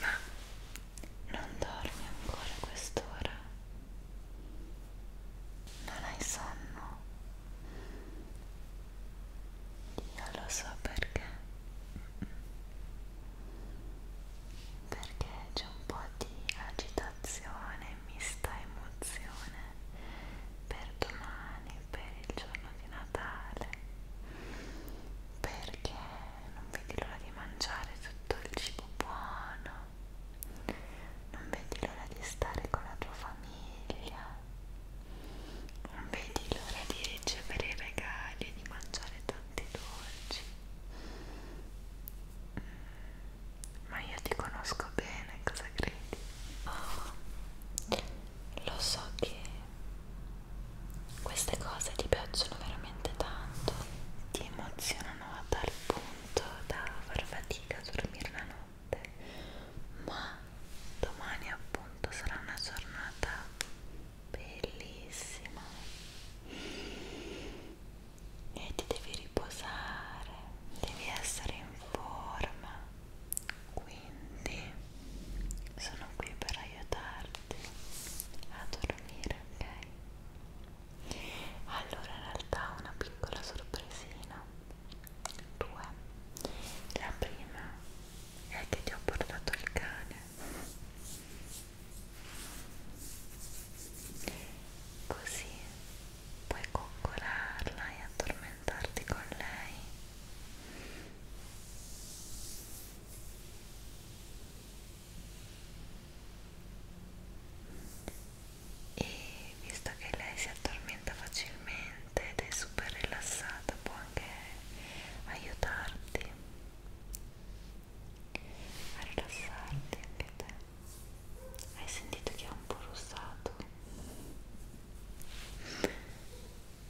Ma non dormi ancora a quest'ora? Non hai sonno? Io lo so perché. Perché c'è un po' di agitazione, mista emozione per domani per il giorno di Natale perché non vedi l'ora di mangiare tutto il cibo buono non vedi l'ora di stare con la tua famiglia non vedi l'ora di ricevere i regali e di mangiare tanti dolci mm. ma io ti conosco bene, cosa credi? Oh, lo so che queste cose ti piacciono veramente tanto, ti emozionano a tal punto da far fatica a dormire la notte, ma domani appunto sarà una giornata bellissima e ti devi riposare, devi essere in forma quindi sono qui per aiutarti a dormire ok allora in realtà una piccola sorpresina due la prima è che ti ho portato il cane così puoi coccolarla e addormentarti con lei e visto che lei si addormenta facilmente ed è super rilassata può anche aiutarti a rilassarti anche te hai sentito che è un po' russato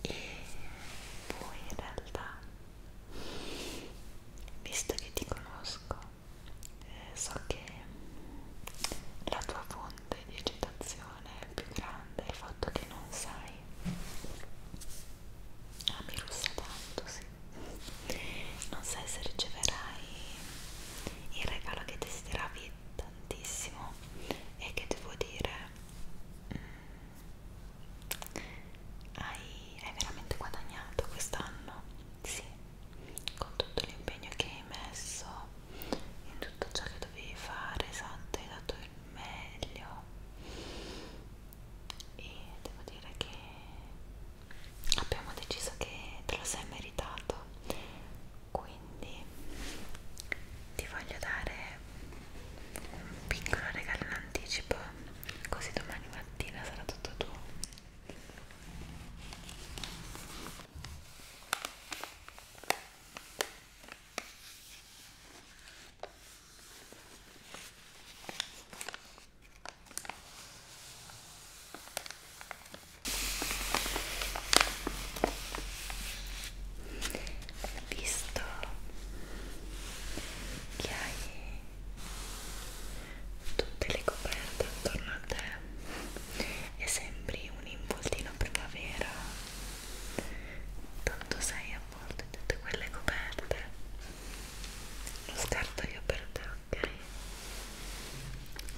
e poi in realtà visto che ti conosco eh, so che la tua fonte di eccitazione è più grande il fatto che non sai ah mi russa tanto sì non sai se riceverai il regalo che desideravi tantissimo e che devo dire mh, mm, hai, hai veramente guadagnato quest'anno sì con tutto l'impegno che hai messo in tutto ciò che dovevi fare esatto hai dato il meglio e devo dire che abbiamo deciso che te lo sei meritato quindi ti voglio dare un piccolo regalo in anticipo così domani mattina sarà tutto tuo visto che hai tutte le coperte attorno a te e sembri un involtino primavera tanto sei avvolto in tutte quelle coperte lo scarto io per te ok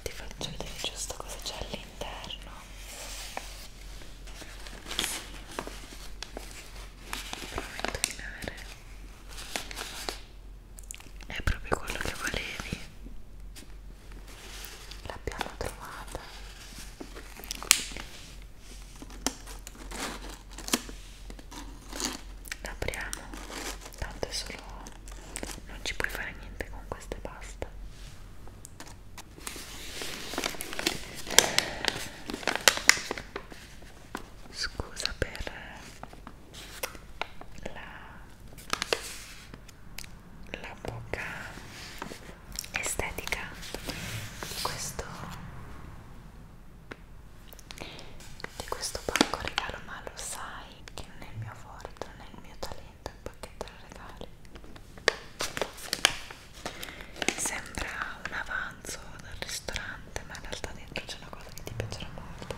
ti faccio vedere giusto cosa c'è all'interno Provo a indovinare. È proprio quello che volevi. L'abbiamo trovata. L'apriamo. Tanto è solo non ci puoi fare niente con queste pasta. Scusa per la, la poca estetica di questo di questo banco regalo ma lo sai che non è il mio forte, non è il mio talento niente, un pacchetto da regali sembra un avanzo dal ristorante ma in realtà dentro c'è una cosa che ti piacerà molto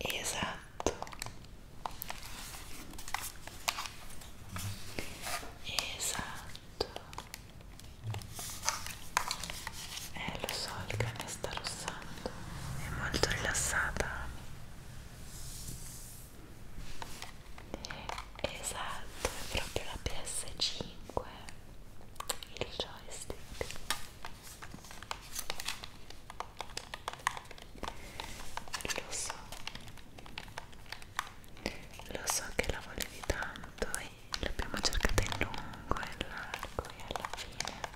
Esatto. Esatto. Eh, lo so, il cane sta rossando. È molto rilassata esatto è proprio la PS5 il joystick lo so lo so che la volevi tanto e l'abbiamo cercata in lungo e in largo e alla fine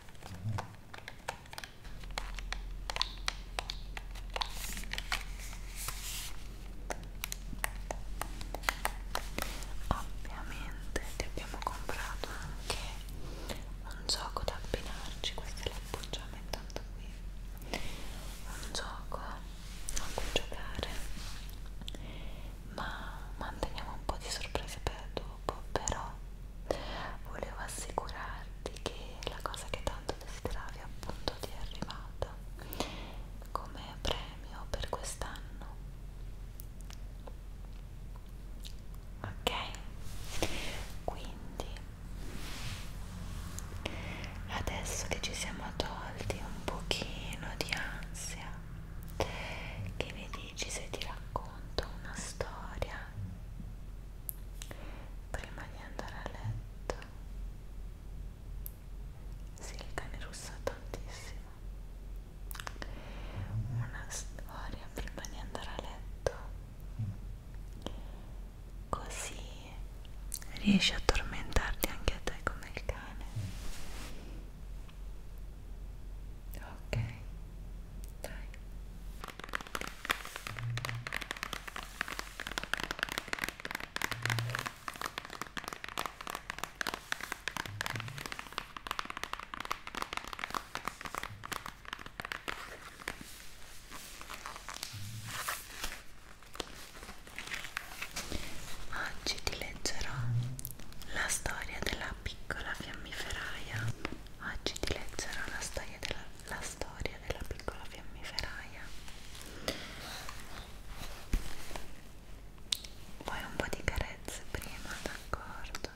Ovviamente ti abbiamo comprato anche un gioco da abbinarci, questo è l'appoggiamento tanto qui. Un gioco a cui giocare, ma manteniamo un po' di sorprese per dopo, però volevo assicurarmi accorti che la cosa che tanto desideravi appunto ti è arrivata come premio per quest'anno ok quindi adesso che ci siamo tolti un pochino di ansia che ne dici se ti racconto una storia prima di andare a letto sì, il cane russa tantissimo una storia prima di andare a letto così riesci a tormentarti anche a te come il cane ok dai Oggi ti leggerò la storia della piccola fiammiferaia. Oggi ti leggerò la storia della la storia della piccola fiammiferaia poi un po' di carezze prima, d'accordo?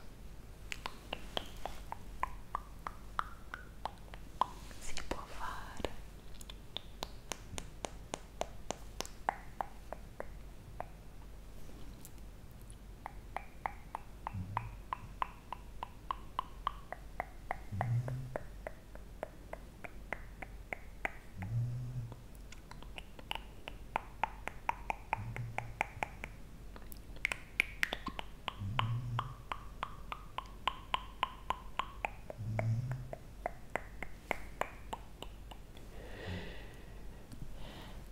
si può fare ok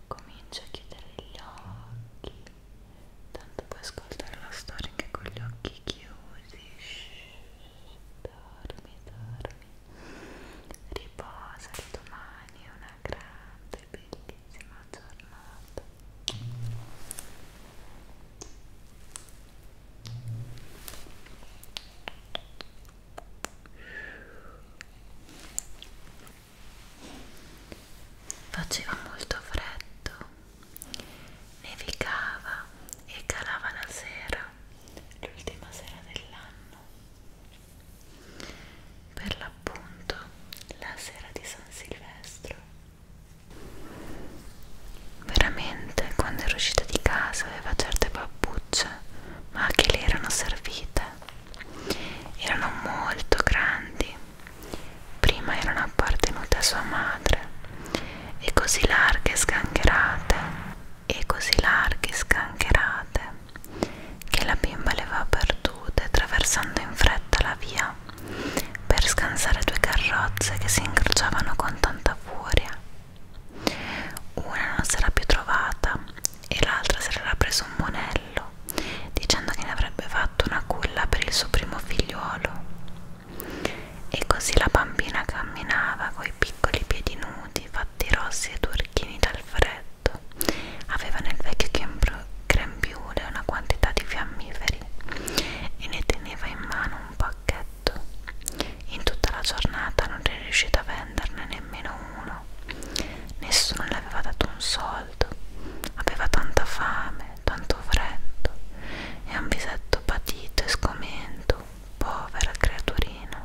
Comincio a chiudere gli occhi tanto puoi ascoltare la storia anche con gli occhi chiusi Shhh, dormi, dormi riposa domani è una grande bellissima giornata Faceva molto freddo, nevicava e calava la sera, l'ultima sera dell'anno, per l'appunto la sera di San Silvestro. Veramente, quando ero uscita di casa aveva certe pappucce, ma che le erano servite. Erano molto grandi prima erano appartenute a sua madre e così larghe e scancherate e così larghe e scancherate che la bimba le va perdute attraversando in fretta la via per scansare due carrozze che si incrociavano con tanta furia una non s'era più trovata e l'altra s'era preso un monello fratello, dicendo che ne avrebbe fatto una culla per il suo primo figliuolo. E così la bambina camminava coi piccoli piedi nudi, fatti rossi e turchini dal freddo. Aveva nel vecchio grembiule una quantità di fiammiferi e ne teneva in mano un pacchetto. In tutta la giornata non è riuscita a venderne nemmeno uno. Nessuno le aveva dato un soldo caldo, aveva tanta fame, tanto freddo e un visetto patito e scomento, povera creaturina.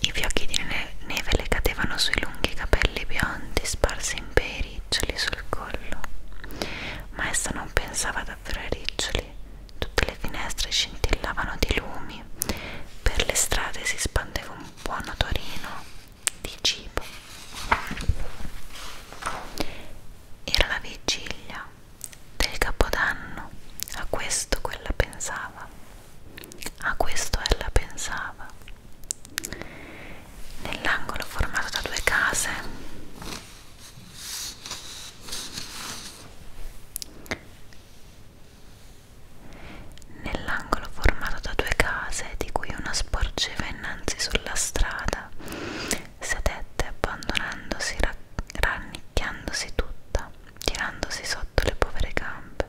I fiocchi di neve le cadevano sui lunghi capelli biondi sparsi in bei riccioli sul collo, ma essa non pensava davvero ai riccioli, tutte le finestre scintillavano di lumi, per le strade si spandeva un buon odorino di cibo. Era la vigilia del capodanno, a questo quella pensava, a questo ella pensava. Nell'angolo formato da due case nell'angolo formato da due case di cui una sporgeva innanzi sulla strada, sedette abbandonandosi, rannicchiandosi tutta, tirandosi sotto le povere gambe.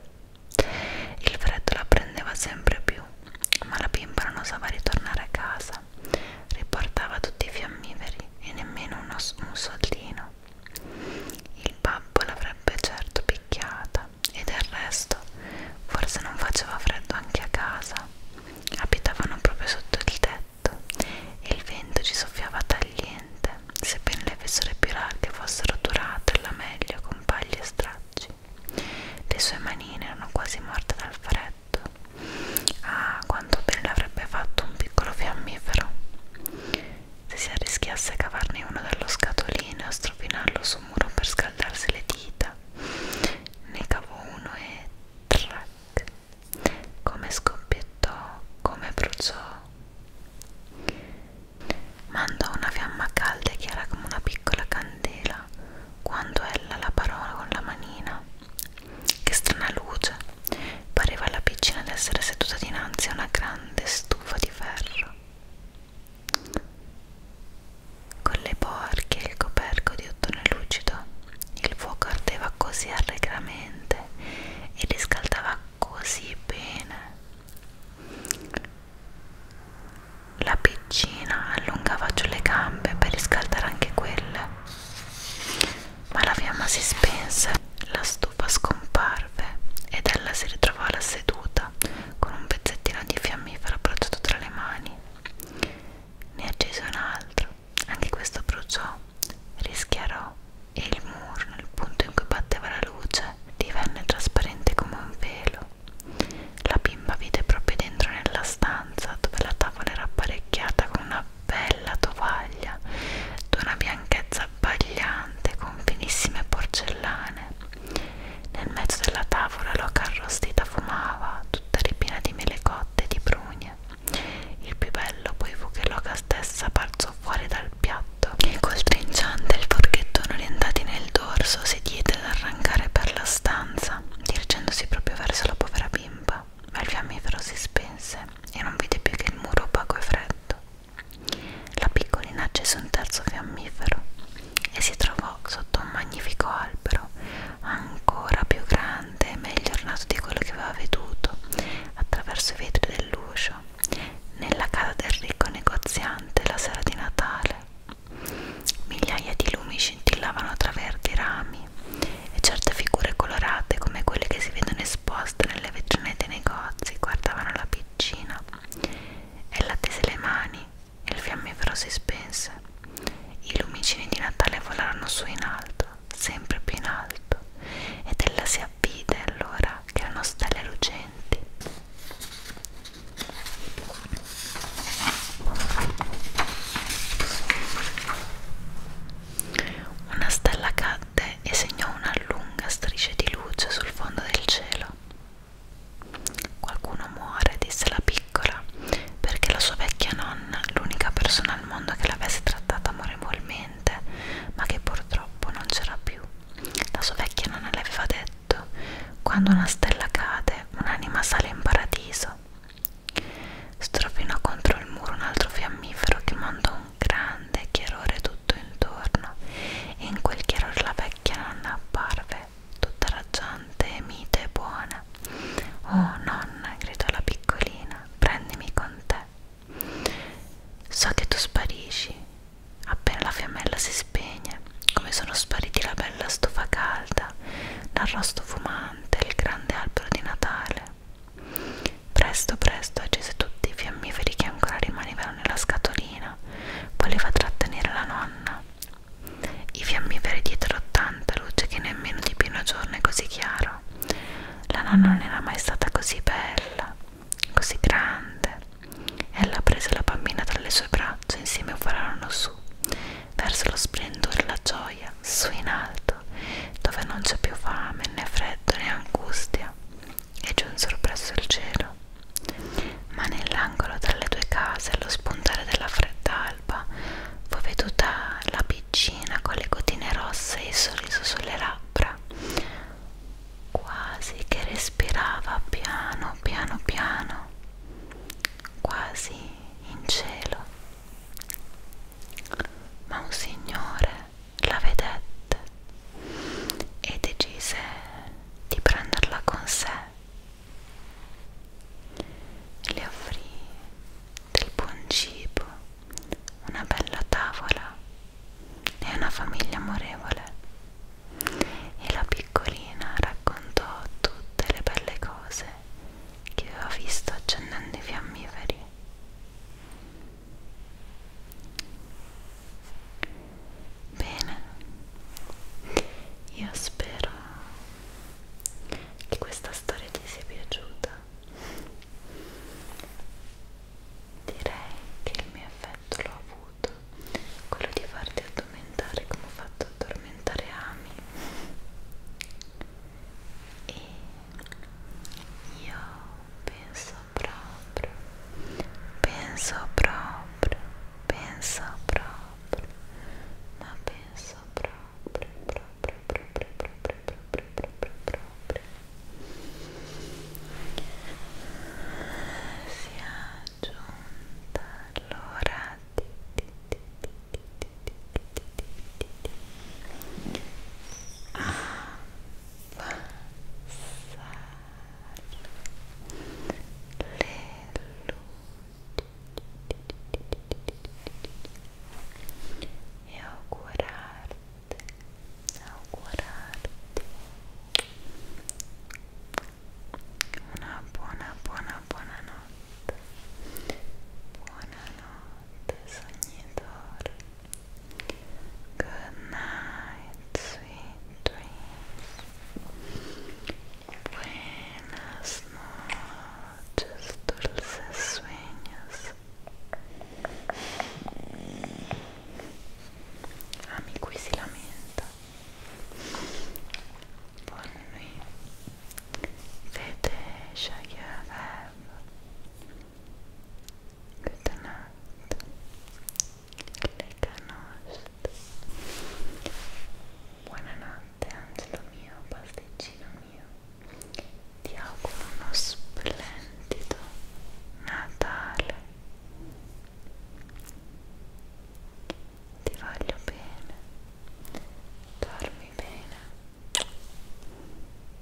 Il freddo la prendeva sempre più, ma la bimba non osava ritornare a casa, riportava tutti i fiammiferi e nemmeno uno, un soldino. Il babbo l'avrebbe certo picchiata e del resto forse non faceva freddo anche a casa. Abitavano proprio sotto il tetto e il vento ci soffiava tagliente, sebbene le fessure più larghe fossero durate alla meglio con pagli e stracci. Le sue manine erano quasi morte dal freddo. Ah, quanto bene avrebbe fatto un piccolo fiammifero! Se si arrischiasse a cavarne uno dallo scatolino e a strofinarlo su muro per scaldarsi le dita. Ne cavò uno e track. Come scoppiettò, come bruciò. Mandò una fiamma calda e chiara come una piccola candela quando ella la parola con la manina. Che strana luce! Pareva alla piccina d'essere seduta dinanzi a una grande stufa di ferro. Con le porche e il coperco di ottone lucido, il fuoco ardeva così allegramente e riscaldava così bene. La piccina allungava giù le gambe per riscaldare anche quelle, ma la fiamma si spense, la stufa scomparve ed ella si ritrovò alla seduta con un pezzettino di fiammifero approcciato tra le mani. Ne accese un altro, anche questo bruciò, rischiarò e il muro, nel punto in cui batteva la luce, divenne trasparente come un velo. La bimba vide proprio dentro nella stanza dove la tavola era apparecchiata con una bella tovaglia d'una bianchezza abbagliante con finissime porcellane nel mezzo della tavola l'oca arrostita fumava, tutta ripiena di mele cotte e di prugne. Il più bello poi fu che l'oca stessa balzò fuori dal piatto e col trinciante il forchettone orientati nel dorso si diede ad arrancare per la stanza, dirigendosi proprio verso la povera bimba. Ma il fiammifero si spense e non vide più che il muro opaco e freddo. La piccolina accese un terzo fiammifero e si trovò sotto un magnifico albero, ancora più grande e meglio ornato di quello che aveva veduto, attraverso i vetri dell'uscio, nella casa del ricco negoziante la sera di Natale. Migliaia di lumi scintillavano tra verdi rami e certe figure colorate come quelle che si vedono esposte nelle vetrine dei negozi guardavano la piccina Ella tese le mani e il fiammifero si spense. I lumicini di Natale volarono su in alto, sempre più in alto, ed ella si avvide allora che erano stelle lucenti. Una stella cadde e segnò una lunga striscia di luce sul fondo del cielo. Qualcuno muore, disse la piccola, perché la sua vecchia nonna, l'unica persona al mondo che l'avesse trattata amorevolmente, ma che purtroppo non c'era più. La sua vecchia nonna le aveva detto, quando una stella cade, un'anima sale in paradiso. Strofinò contro il muro un altro fiammifero che mandò un grande chiarore tutto intorno e in quel chiarore la vecchia nonna apparve, tutta raggiante, mite e buona. Oh nonna, gridò la piccolina, prendimi con te. So che tu sparisci. Appena la fiammella si spegne, come sono spariti la bella stufa calda, l'arrosto fumante e il grande albero di Natale. Presto, presto accese tutti i fiammiferi che ancora rimanevano nella scatolina, voleva trattenere la nonna. I fiammiferi dietro tanta luce che nemmeno di pieno giorno è così chiaro. La nonna non era mai stata così bella, così grande. Ella prese la bambina tra le sue braccia e insieme volarono su, verso lo splendore e la gioia, su in alto, dove non c'è più fame, né freddo, né angustia e giunsero presso il cielo. Ma nell'angolo tra le due case, allo spuntare della fredda alba, fu veduta la piccina con le gotine rosse e il sorriso sulle labbra, quasi che respirava piano piano piano, quasi in cielo. Ma un signore la vedette e decise di prenderla con sé. Le offrì del buon cibo, una bella tavola e una famiglia amorevole e la piccolina raccontò tutte le belle cose che aveva visto accendendo i fiammiferi. Bene, io spero che questa storia ti sia piaciuta. Direi che il mio effetto l'ho avuto, quello di farti addormentare come ho fatto addormentare Ami. E io penso proprio, penso proprio, penso proprio, ma penso proprio, proprio, proprio, proprio, proprio, proprio, proprio. Si è giunta l'ora di, di, di, di, di, di, di, di, di. Ah. passar e augurarte, augurarte una buona, buona, buona notte, buonanotte sognatore Good night, sweet dreams. Buenas noches, dulces sueños. A mí qui si lamenta. Buon nuit. Fete, shaggy, Goodnight Leganost Buonanotte angelo mio, pasticcino mio Ti auguro uno splendido Natale Ti voglio bene Dormi bene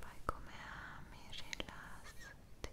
Fai come ami, rilassati. Rilassati.